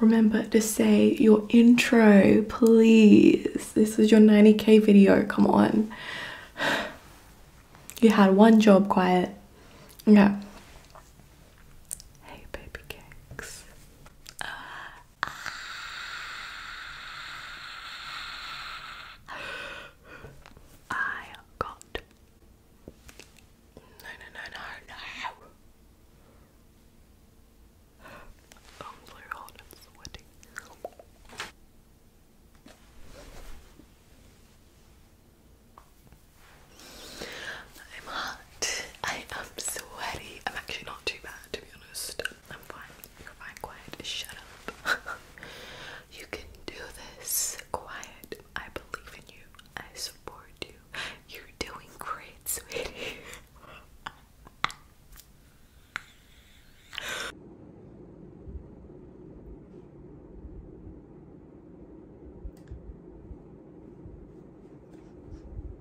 Remember to say your intro, please. This is your 90k video, come on. You had one job, quiet. Okay. Hey, baby cakes. I got no, no, no, no, no. I'm so hot and sweaty. I'm hot. I am sweaty. I'm actually not too bad, to be honest. I'm fine. You're fine. Quiet. Shut up. you can do this. Quiet. I believe in you. I support you. You're doing great, sweetie.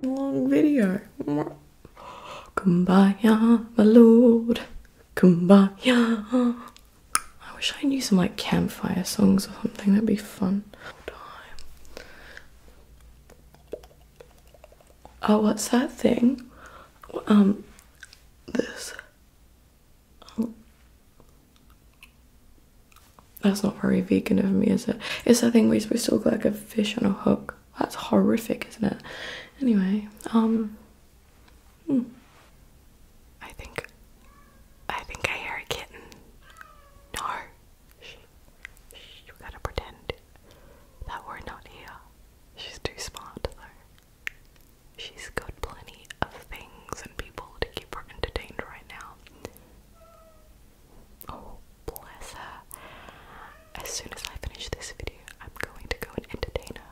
Long video. Kumbaya, my lord. Kumbaya. I wish I knew some like campfire songs or something, that'd be fun. Oh, what's that thing? Um, this. Oh. That's not very vegan of me, is it? It's that thing we are supposed to look like a fish on a hook. That's horrific, isn't it? Anyway, um, hmm. I think I think I hear a kitten. No. Shh. gotta pretend that we're not here. She's too smart though. She's got plenty of things and people to keep her entertained right now. Oh, bless her. As soon as I finish this video, I'm going to go and entertain her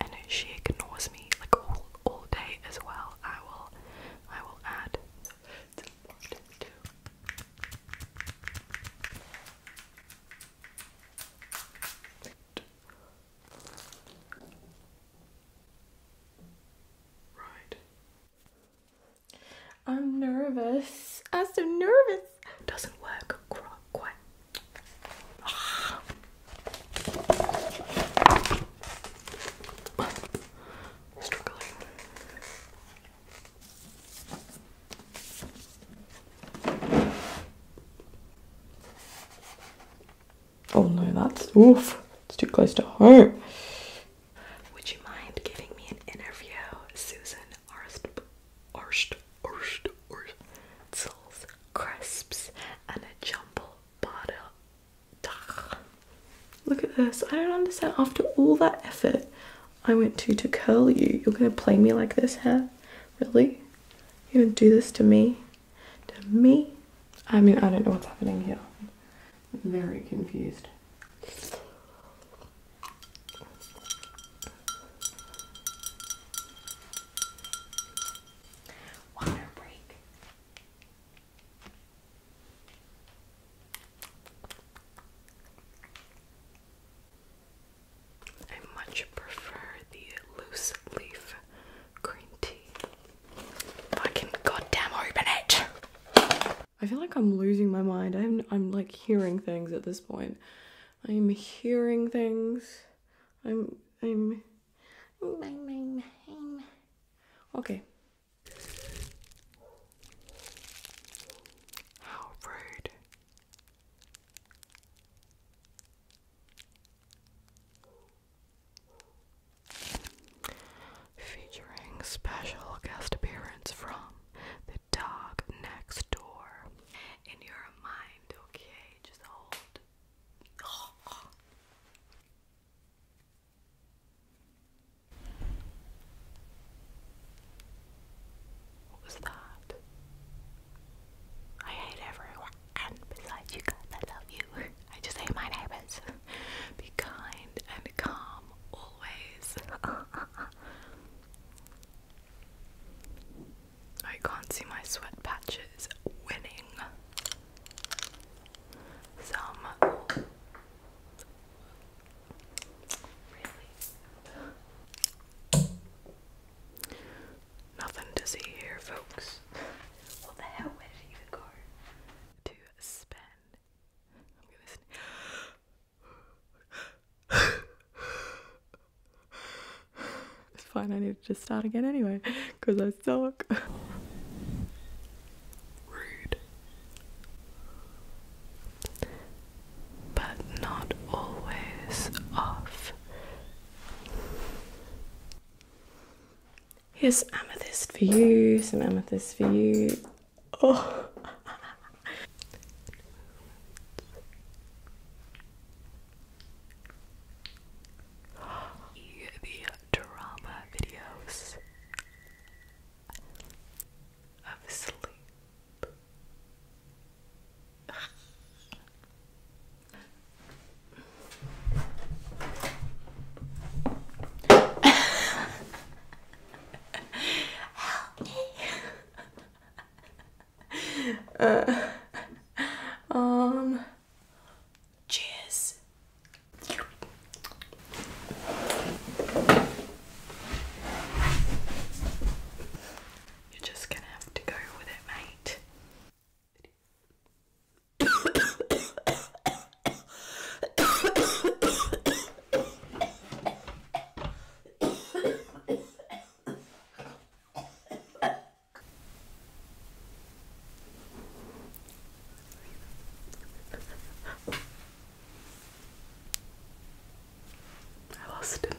and she ignores me like all all day as well. I will I will add Right. I'm nervous. I'm so nervous. Doesn't work quite Oh no, that's oof. It's too close to home. Would you mind giving me an interview, Susan Arst? Orst, crisps, and a jumble butter. Duh. Look at this. I don't understand. After all that effort I went to to curl you, you're gonna play me like this, huh? Really? You're gonna do this to me? To me? I mean, I don't know what's happening here. very confused. Water break. I much prefer the loose leaf green tea. Fucking goddamn open it! I feel like I'm losing my mind. I'm, I'm like hearing things at this point. I'm hearing things. I'm I'm, I'm, i I'm. Okay. How rude. Featuring special guest appearance from the dog next door. In your mind, okay? Just hold what was that? I hate everyone and besides you guys I love you. I just hate my neighbors. Be kind and calm always. I can't see my sweat patches winning some. Really? Nothing to see here, folks. What the hell? Where did it go? To spend. It's fine, I need to just start again anyway, because I suck. Rude. But not always off. Here's amethyst for you, some amethyst for you. Oh! the drama videos of sleep. Help me. Uh, um, cheers. You're just gonna have to go with it, mate. I lost a nail.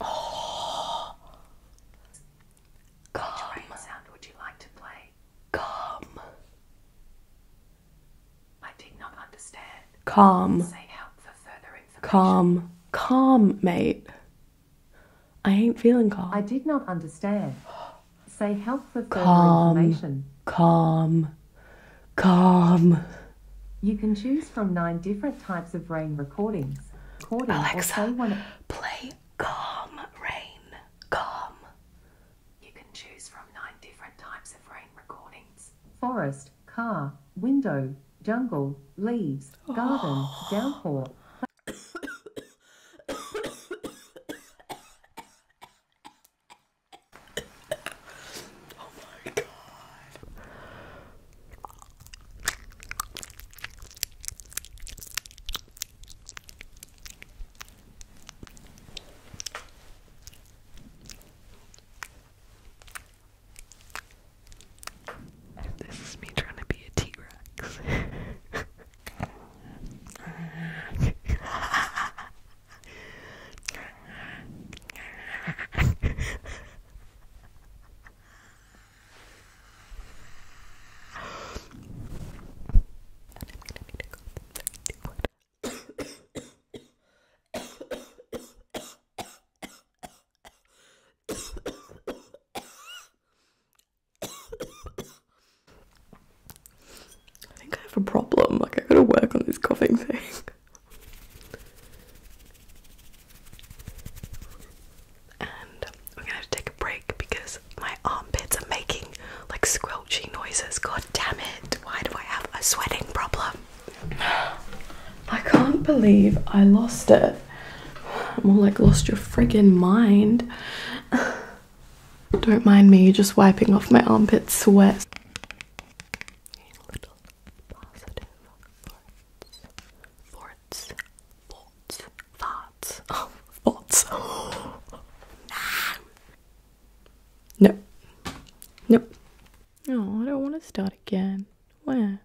Oh, gum. Which sound would you like to play? Gum. I did not understand. Calm. Say help for further information. Calm. Calm, mate. I ain't feeling calm. I did not understand. Say help for further calm, information. Calm. Calm. You can choose from nine different types of rain recordings. Alexa, play calm rain. Calm. You can choose from nine different types of rain recordings. Forest, car, window, jungle, leaves, oh. garden, downpour. This is me trying to be a T Rex. I think I have a problem. Like, I gotta work on this coughing thing. And we're going to take a break because my armpits are making like squelchy noises. God damn it! Why do I have a sweating problem? I can't believe I lost it. More like lost your friggin' mind. Don't mind me just wiping off my armpit sweat. A thoughts, thoughts, thoughts, thoughts. no, nope. No, oh, I don't want to start again. Where?